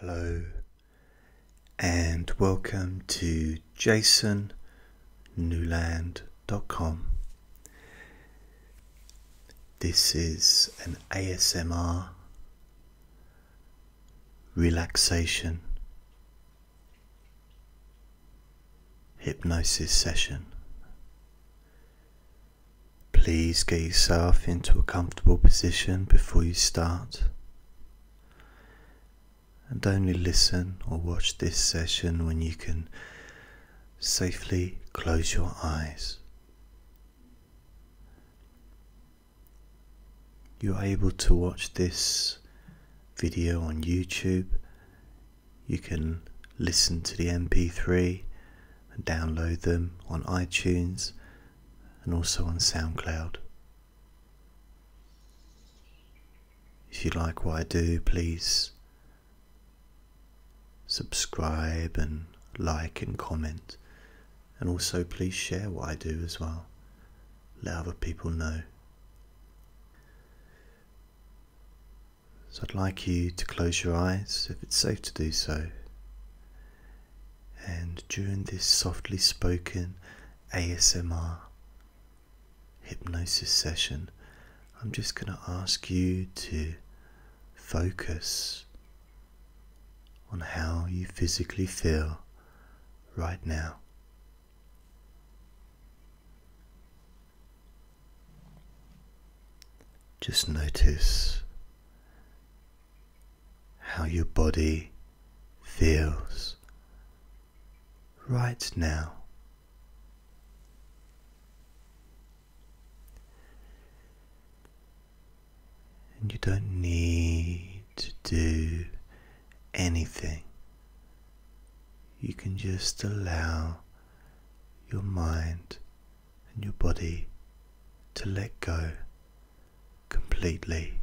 Hello, and welcome to jasonnewland.com. This is an ASMR relaxation hypnosis session. Please get yourself into a comfortable position before you start. And only listen or watch this session when you can safely close your eyes. You're able to watch this video on YouTube. You can listen to the MP3 and download them on iTunes and also on SoundCloud. If you like what I do, please subscribe and like and comment. And also, please share what I do as well. Let other people know. So, I'd like you to close your eyes if it's safe to do so. And during this softly spoken ASMR hypnosis session, I'm just going to ask you to focus on how you physically feel right now. Just notice how your body feels right now. And you don't need to do anything. You can just allow your mind and your body to let go completely.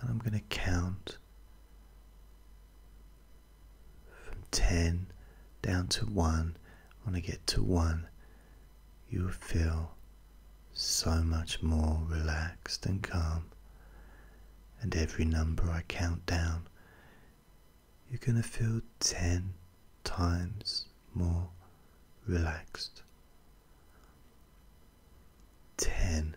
And I'm going to count from 10 down to 1. When I get to 1, you will feel so much more relaxed and calm. And every number I count down, you're going to feel 10 times more relaxed. 10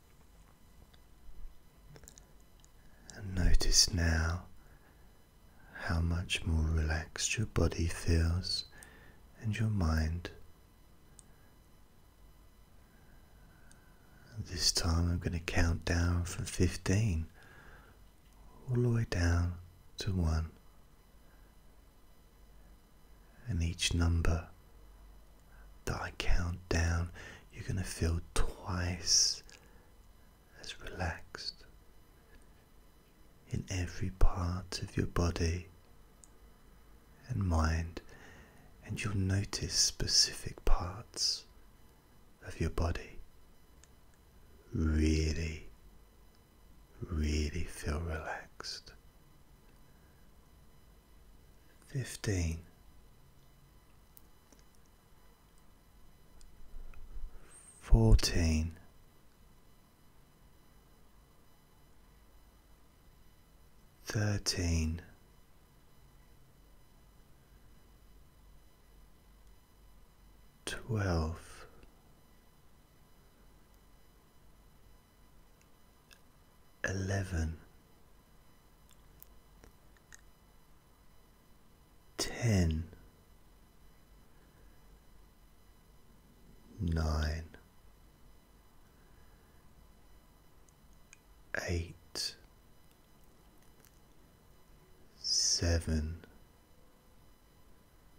And notice now how much more relaxed your body feels and your mind. This time I'm going to count down from 15 all the way down to 1 and each number that I count down, you're going to feel twice as relaxed in every part of your body and mind, and you'll notice specific parts of your body really, really feel relaxed fifteen, fourteen. Thirteen, twelve, eleven, ten, nine, eight, seven.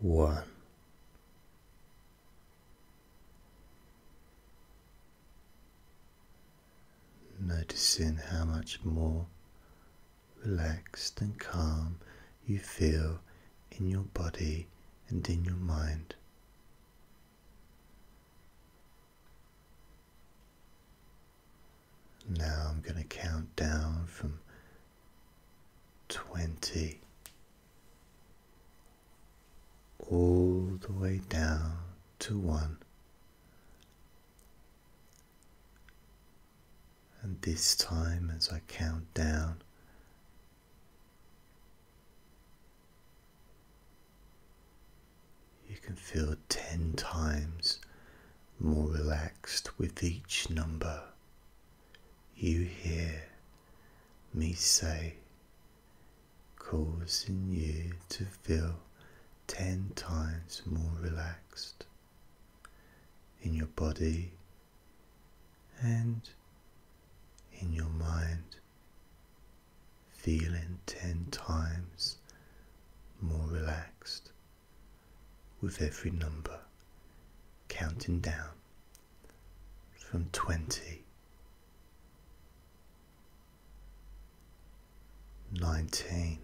one. Noticing how much more relaxed and calm you feel in your body and in your mind. Now I'm going to count down from 20 all the way down to 1. And this time, as I count down, you can feel 10 times more relaxed with each number. You hear me say, causing you to feel ten times more relaxed in your body and in your mind, feeling ten times more relaxed with every number counting down from 20 19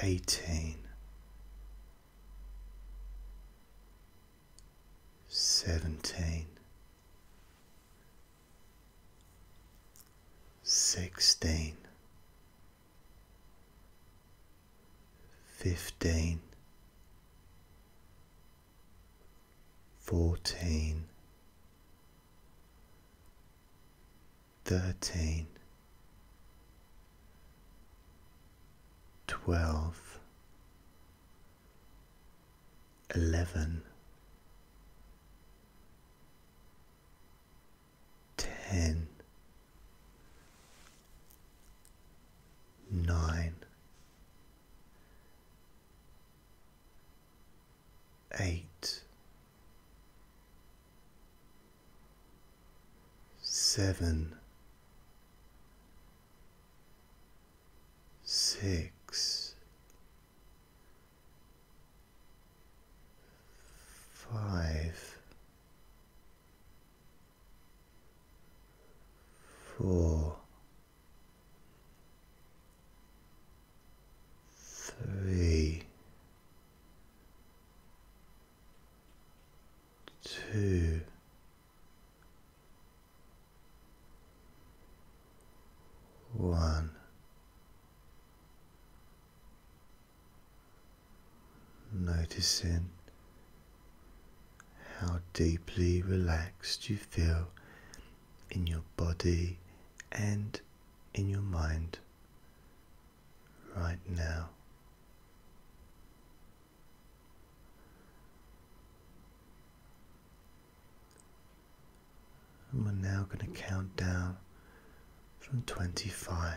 18 17 sixteen, fifteen, fourteen, thirteen, twelve. Eleven, ten, nine, eight, seven, six five, four, three, two one. Noticing how deeply relaxed you feel in your body and in your mind right now. And we're now going to count down from 25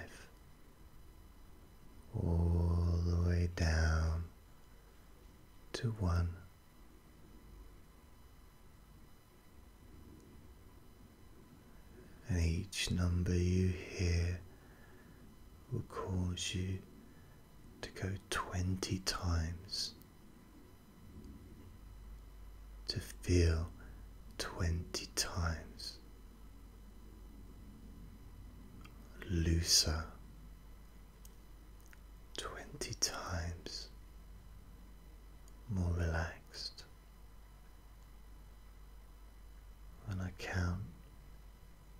all the way down to 1. And each number you hear will cause you to go 20 times, to feel 20 times looser 20 times more relaxed. When I count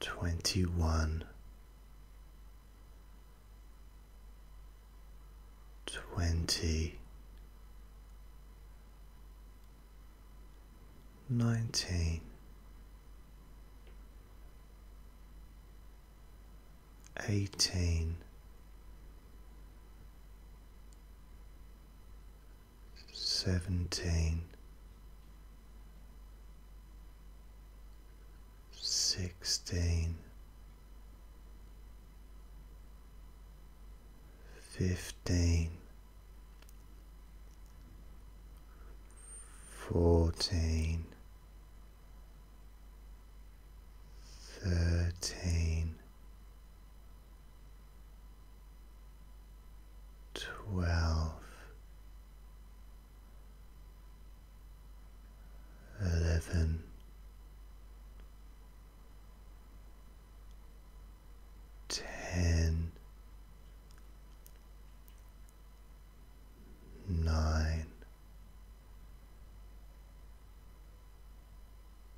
twenty one, twenty, nineteen, eighteen seventeen, sixteen, fifteen, fourteen, thirteen twelve, eleven, ten, nine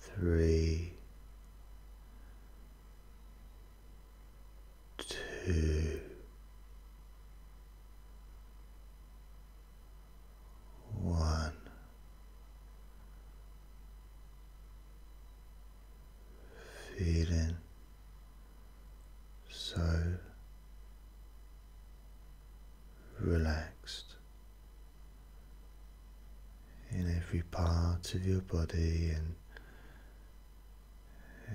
three, two, one, feeling so relaxed in every part of your body and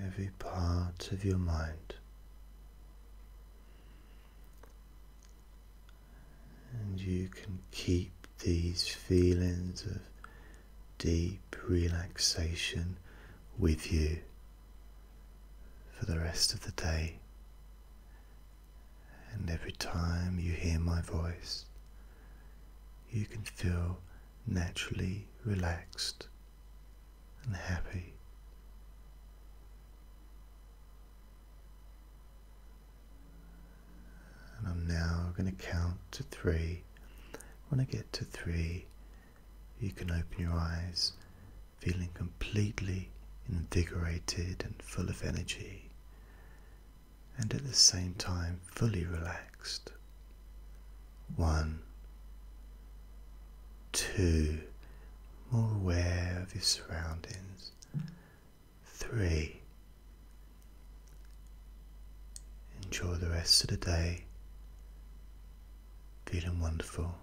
every part of your mind. And you can keep these feelings of deep relaxation with you for the rest of the day. And every time you hear my voice, you can feel naturally relaxed and happy. And I'm now going to count to three. When I get to three, you can open your eyes feeling completely invigorated and full of energy, and at the same time fully relaxed. One, two, more aware of your surroundings. Three, enjoy the rest of the day, feeling wonderful.